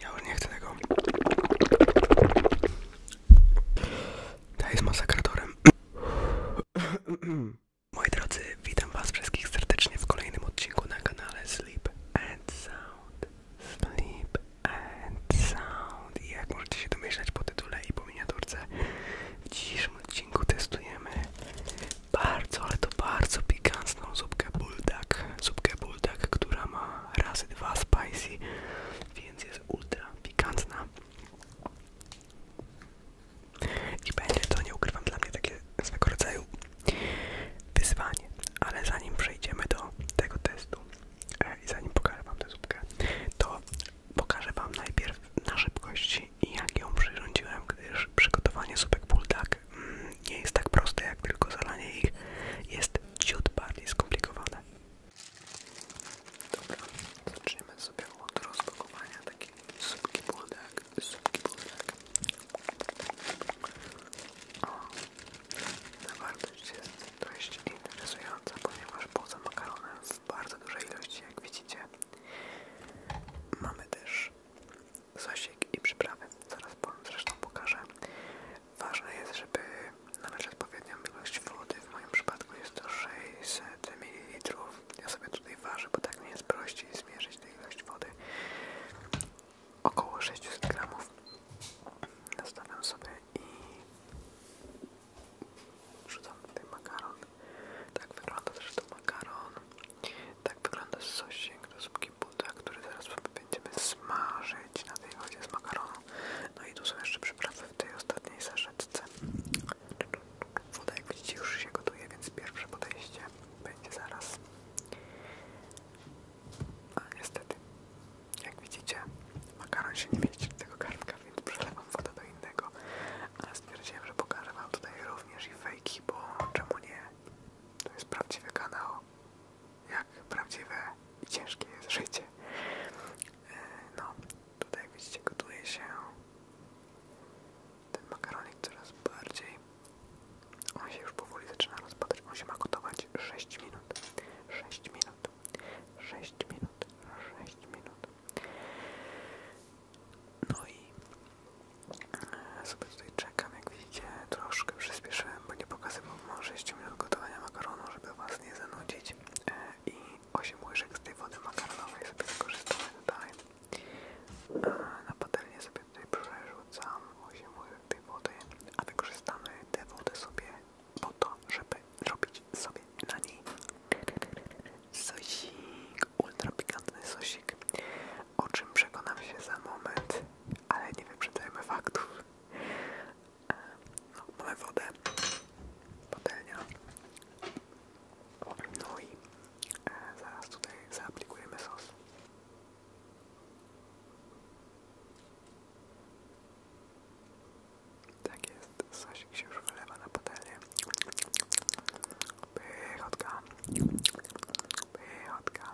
Ja już nie chcę tego. Ta jest masakratorem. Moi drodzy, witam was wszystkich serdecznie w kolejnym odcinku na kanale Sleep and Sound. Sleep and Sound. I jak możecie się domyślać po tytule i po miniaturce, w dzisiejszym odcinku testujemy bardzo, ale to bardzo pikantną zupkę buldak, zupkę buldak, która ma razy dwa spicy, więc jest ultra pikantna. I będzie to, nie ukrywam, dla mnie takie swego rodzaju wyzwanie. Ale zanim przejdziemy do tego testu e, i zanim pokażę Wam tę zupkę, to pokażę Wam najpierw na szybkości i jak ją przyrządziłem, gdyż przygotowanie zupek buldak mm, nie jest tak proste jak tylko zalanie ich, jest ciut bardziej skomplikowane. Dobra, zaczniemy sobie od rozpakowania takiej zupki buldak, zupki buldak. O, zawartość jest dość interesująca, ponieważ poza makaronem w bardzo dużej ilości, jak widzicie, mamy też sosik i przyprawy. Zaraz Wam zresztą pokażę. Ważne jest, żeby nalać odpowiednią ilość wody. W moim przypadku jest to 600 ml. Ja sobie tutaj ważę, bo tak mi jest prościej zmierzyć tę ilość wody. Około 600 gramów. Nastawiam sobie i wrzucam tutaj makaron. Tak wygląda zresztą makaron. Tak wygląda sosik do zupki który zaraz będziemy smażyć na tej wodzie z makaronu. No i tu są jeszcze przyprawy w tej ostatniej saszetce. Woda jak widzicie już się gotuje, więc pierwsze podejście będzie zaraz. A niestety, jak widzicie, makaron się nie mieści do tego kartka, więc przelewam wodę do innego. Ale stwierdziłem, że pokażę wam tutaj również i bo czemu nie? To jest prawdziwy kanał, jak prawdziwe i ciężkie jest życie. E, no, tutaj jak widzicie gotuje się ten makaronik coraz bardziej. On się już powoli zaczyna rozpadać. On się ma gotować 6 minut. 6 minut. 6 minut. 6 minut. No i e, sobie tutaj czekam, jak widzicie, troszkę przyspieszyłem, bo nie pokazywał może 6 minut gotowania makaronu, żeby was nie zanudzić e, i 8 łyżek z tej wody makaronowej sobie wykorzystamy tutaj. E, na patelnię sobie tutaj przerzucam 8 łyżek tej wody, a wykorzystamy tę wodę sobie po to, żeby robić sobie na niej sosik ultra pikantny sosik, o czym przekonam się za moment, ale nie wyprzedzajmy faktów. E, no, mamy wodę, patelnia, no i e, zaraz tutaj zaaplikujemy sos. Tak jest, sosik się już wylewa na patelnię. Pychotka. Pychotka.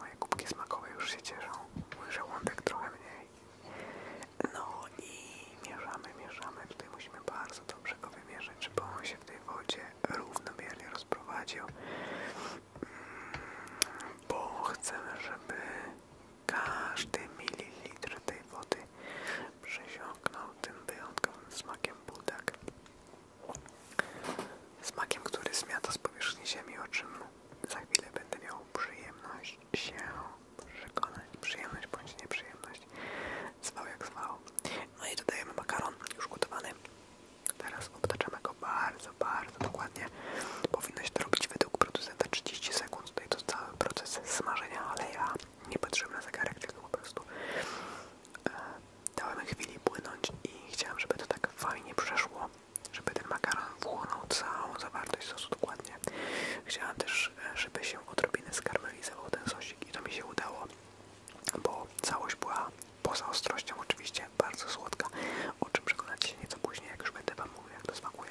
Moje kubki smakowe już się cieszą. Mój żołądek trochę mniej. No i mieszamy, mieszamy. Tutaj musimy bardzo dobrze go wymierzać, żeby on się w tej wodzie równomiernie rozprowadził. Mm, bo chcemy, żeby każdy mililitr tej wody przesiąknął tym wyjątkowym smakiem budak. Smakiem, który zmiata z powierzchni ziemi, o czym za chwilę będę miał przyjemność się przekonać. Przyjemność bądź nieprzyjemność. Zwał jak zwał. No i dodajemy makaron już gotowany. Teraz obtaczamy go bardzo, bardzo dokładnie. Powinno się to robić według producenta 30 sekund. Tutaj to cały proces smażenia, ale ja nie patrzyłem na zegarek, tylko no po prostu e, dałem chwili płynąć i chciałem, żeby to tak fajnie przeszło, żeby ten makaron wchłonął całą zawartość sosu dokładnie. Chciałem też, e, żeby się odrobinę skarmelizował ten sosik i to mi się udało, bo całość była poza ostrością oczywiście, bardzo słodka, o czym przekonacie się nieco później, jak już będę Wam mówił, jak to smakuje.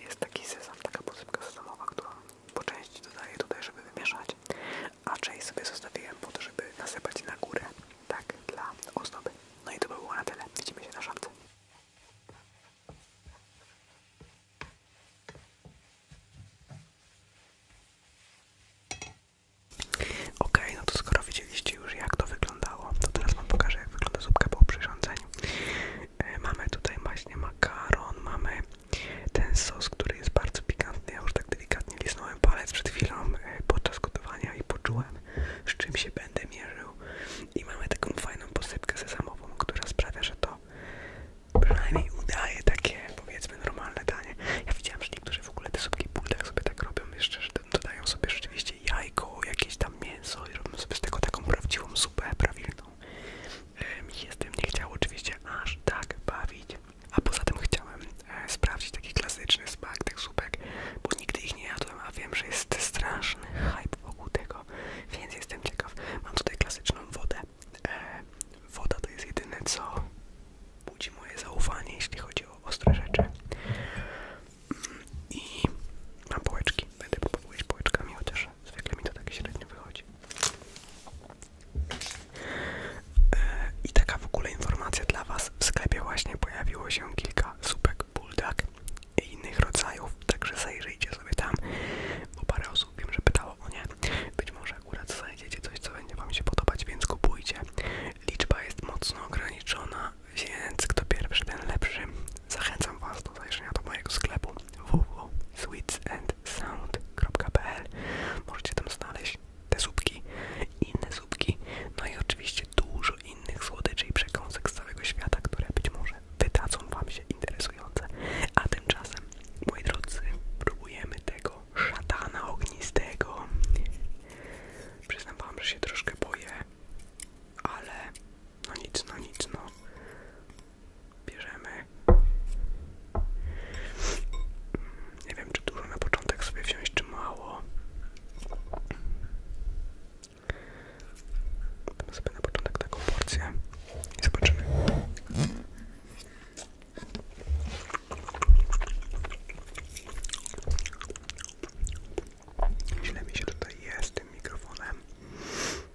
Jest taki sezam, taka posypka sezamowa, którą po części dodaję tutaj, żeby wymieszać, a część sobie zostawiłem po to, żeby nasypać na górę, tak, dla ozdoby. No i to by było na tyle. Widzimy się na szamce. Ok, no to skoro widzieliście już jak to wyglądało, to teraz wam pokażę jak wygląda zupka po przyrządzeniu. E, mamy tutaj właśnie makaron, mamy ten sos, który jest bardzo pikantny, ja już tak delikatnie lisnąłem palec przed chwilą e, podczas gotowania i poczułem, z czym się będę mierzył. I mamy taką fajną posypkę sezamową, która sprawia, że to przynajmniej udaje takie, powiedzmy, normalne danie. Ja widziałem, że niektórzy w ogóle te subki buldak sobie tak robią jeszcze, że dodają sobie rzeczywiście jajko, jakieś tam mięso i robią sobie z tego taką prawdziwą supę prawilną. Mi nie chciał oczywiście aż tak bawić. A poza tym chciałem e, sprawdzić taki klasyczny smak tych słupek, bo nigdy ich nie jadłem, a wiem, że jest straszny hype wokół tego, więc jestem ciekaw. Mam tutaj klasyczną wodę. E, woda to jest jedyne, co budzi moje zaufanie, jeśli chodzi o ostre rzeczy. Mm, I mam połeczki. Będę próbował jeść połeczkami, chociaż zwykle mi to tak średnio wychodzi. E, I taka w ogóle informacja dla Was. W sklepie właśnie pojawiło się kilka supek buldak i innych rodzajów, także zajrzyjcie sobie tam, bo parę osób wiem, że pytało o nie. Być może akurat znajdziecie coś, co będzie Wam się podobać, więc kupujcie. Liczba jest mocno ograniczona, więc kto pierwszy, ten lepszy. Zachęcam Was do zajrzenia do mojego sklepu www.sweetsandsound.pl Możecie tam znaleźć te zupki inne zupki, no i oczywiście dużo innych słodyczy i przekąsek z całego świata, które być może wydadzą Wam się interesujące. A tymczasem, moi drodzy, próbujemy tego szatana ognistego. Przyznam Wam, że się troszkę boję, ale no nic, no nic, no. Bierzemy. Nie wiem, czy dużo na początek sobie wziąć, czy mało. Damy sobie na początek taką porcję i zobaczymy. Źle mi się tutaj jest tym mikrofonem.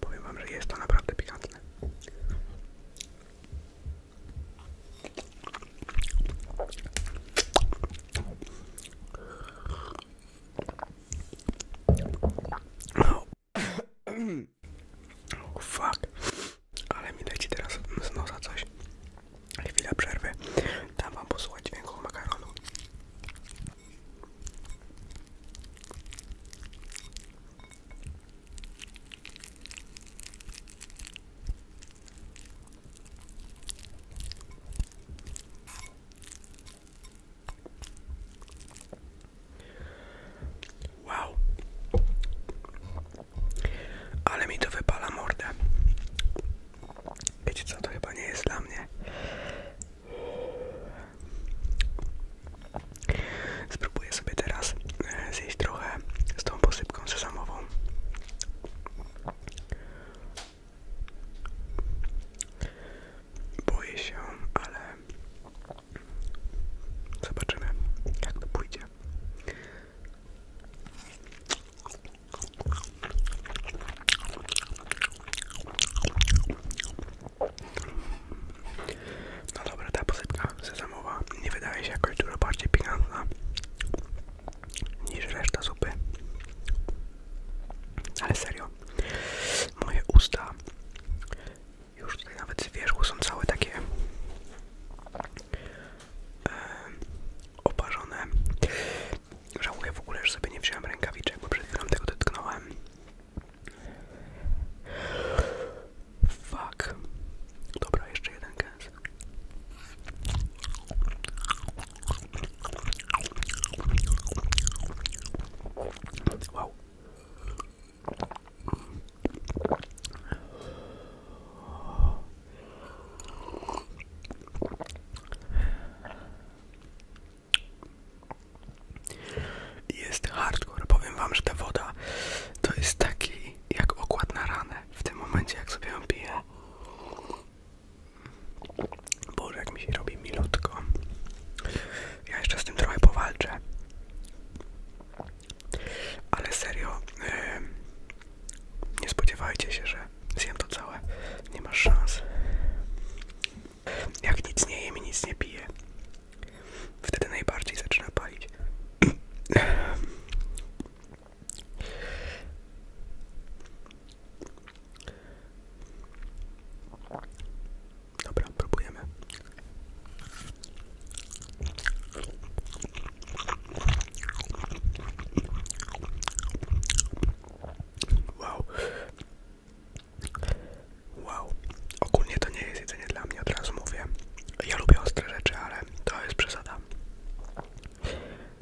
Powiem wam, że jest to naprawdę pikantne. Oh. oh fuck, ale mi leci teraz z nosa coś. Chwila przerwy, dam wam posłuchać dźwięku makaronu. Wow, ale mi to wypala mordę. Wiecie to chyba nie jest dla mnie. Spróbuję sobie teraz e, zjeść trochę z tą posypką sezamową. Boję się, ale zobaczymy, jak to pójdzie. No dobra, ta posypka sezamowa nie wydaje się jakoś dużo bardziej piękna niż reszta zupy. Ale serio, moje usta już tutaj nawet z wierzchu są całe takie oparzone. Żałuję w ogóle, że sobie nie wziąłem rękawiczek, bo przed chwilą tego dotknąłem. Fuck. Dobra, jeszcze jeden gęs. Wow. Jest hardcore. Powiem wam, że ta woda to jest taki jak okład na ranę. W tym momencie jak sobie ją piję. Boże, jak mi się robi milutko. Ja jeszcze z tym trochę powalczę. Ale serio, nie spodziewajcie się, że zjem to całe. Nie masz szans. Jak nic nie jem i nic nie piję, wtedy najbardziej zaczyna palić. Dobra, próbujemy. Wow, Wow, ogólnie to nie jest jedzenie dla mnie, od razu mówię. Ja lubię ostre rzeczy, ale to jest przesada.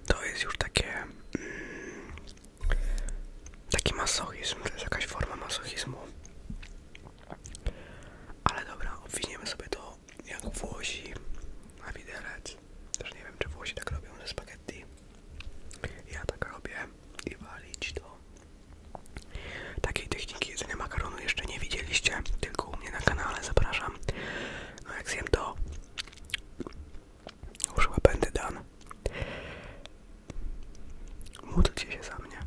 To jest już takie... Mm, taki masochizm, to jest jakaś forma masochizmu. Ale dobra, obwiniemy sobie to jak Włosi na widelec. Też nie wiem, czy Włosi tak robią ze spaghetti. Ja tak robię i walić to. Takiej techniki jedzenia makaronu jeszcze nie widzieliście, tylko u mnie na kanale, zapraszam. No jak zjem to, już będę dan. Módlcie się za mnie.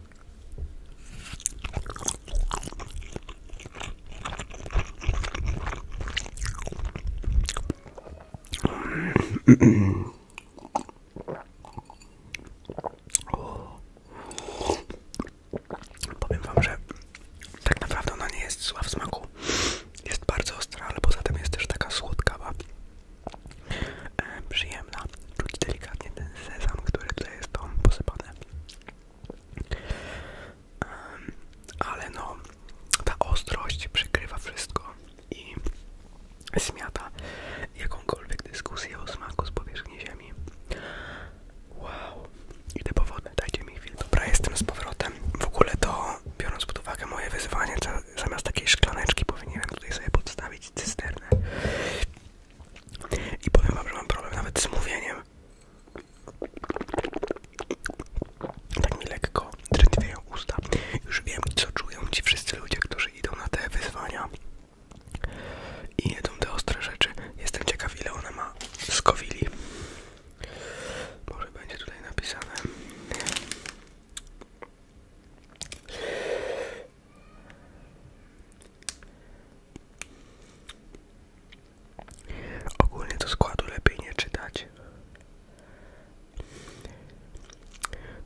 Mm. Powiem wam, że tak naprawdę ona nie jest zła w smaku. Jest bardzo ostra, ale poza tym jest też taka słodkawa, e, przyjemna. Czuć delikatnie ten sezam, który tutaj jest tam posypany. ale no, ta ostrość przykrywa wszystko i zmiata jakąkolwiek dyskusję o smaku z powierzchni ziemi. Wow, idę po wodę, dajcie mi chwilę. Dobra, jestem z powrotem. W ogóle to, biorąc pod uwagę moje wyzwanie, zamiast takiej szklaneczki powinienem tutaj sobie podstawić cysternę. I powiem wam, że mam problem nawet z mówieniem tak mi lekko drętwieją usta. Już wiem, co czują ci wszyscy ludzie, którzy idą na te wyzwania i jedzą te ostre rzeczy. Jestem ciekaw, ile one ma skowili. Może będzie tutaj napisane. Ogólnie do składu lepiej nie czytać.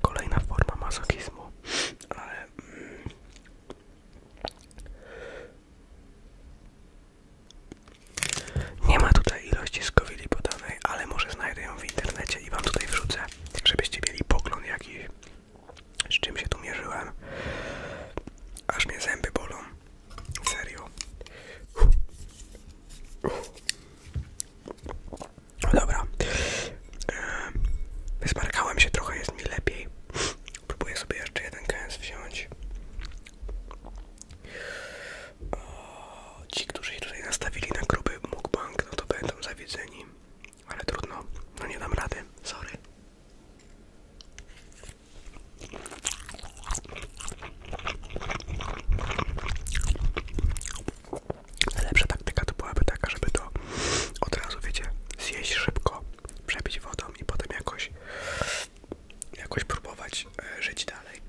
Kolejna forma masochizmu, ale mm, nie ma tutaj ilości skowili podanej, ale może znajdę ją w internecie i wam tutaj wrzucę, żebyście mieli pogląd jakiś, z czym się tu mierzyłem. Aż mnie zęby bolą. Serio. Dobra. Wysmarkałem się trochę, jest mi lepiej. Próbuję sobie jeszcze jeden kęs wziąć. ci, którzy się tutaj nastawili na gruby mukbang, no to będą zawiedzeni. Ale trudno, no nie dam rady, sorry. Najlepsza taktyka to byłaby taka, żeby to od razu, wiecie, zjeść szybko, przebić wodą i potem jakoś, jakoś próbować e, żyć dalej.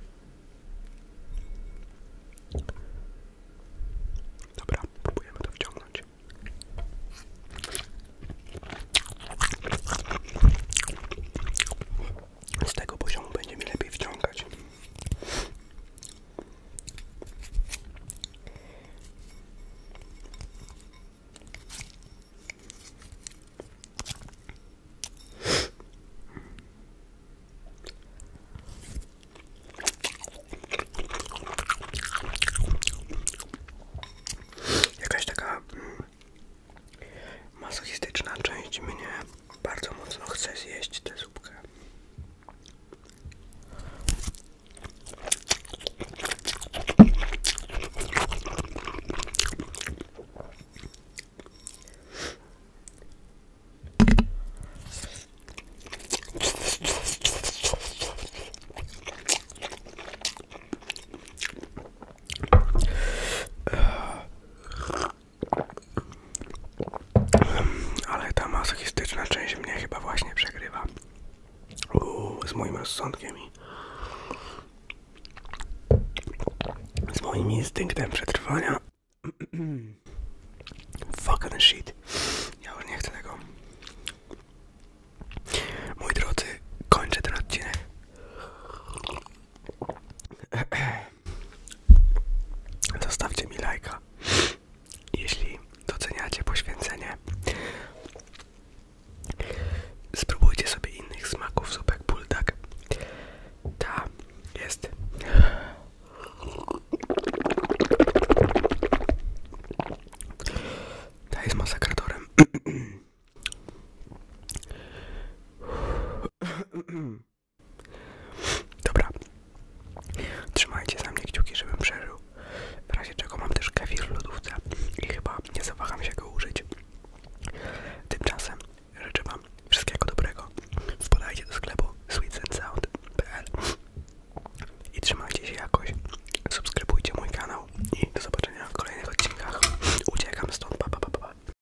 Dobra, próbujemy to wciągnąć z tego poziomu będzie mi lepiej wciągać. Jakaś taka mm, masochistyczna część mnie bardzo mocno chcę zjeść tę zupkę. Ale ta masochistyczna część mnie chyba właśnie przegrywa z moim rozsądkiem i z moim instynktem przetrwania. Fuck shit. Ja już nie chcę tego. Mój drodzy, kończę ten odcinek. Dostawcie mi lajka, jeśli doceniacie poświęcenie. Spróbujcie sobie innych smaków zupek buldak. Ta jest. Ta jest masakratorem. Dobra. Trzymajcie za mnie kciuki, żebym przeżył. W razie czego mam też kefir w lodówce i chyba nie zawaham się go użyć. Tymczasem życzę Wam wszystkiego dobrego. Wpadajcie do sklepu sweetsandsound.pl i trzymajcie się jakoś. Subskrybujcie mój kanał i do zobaczenia w kolejnych odcinkach. Uciekam stąd. Pa, pa, pa, pa.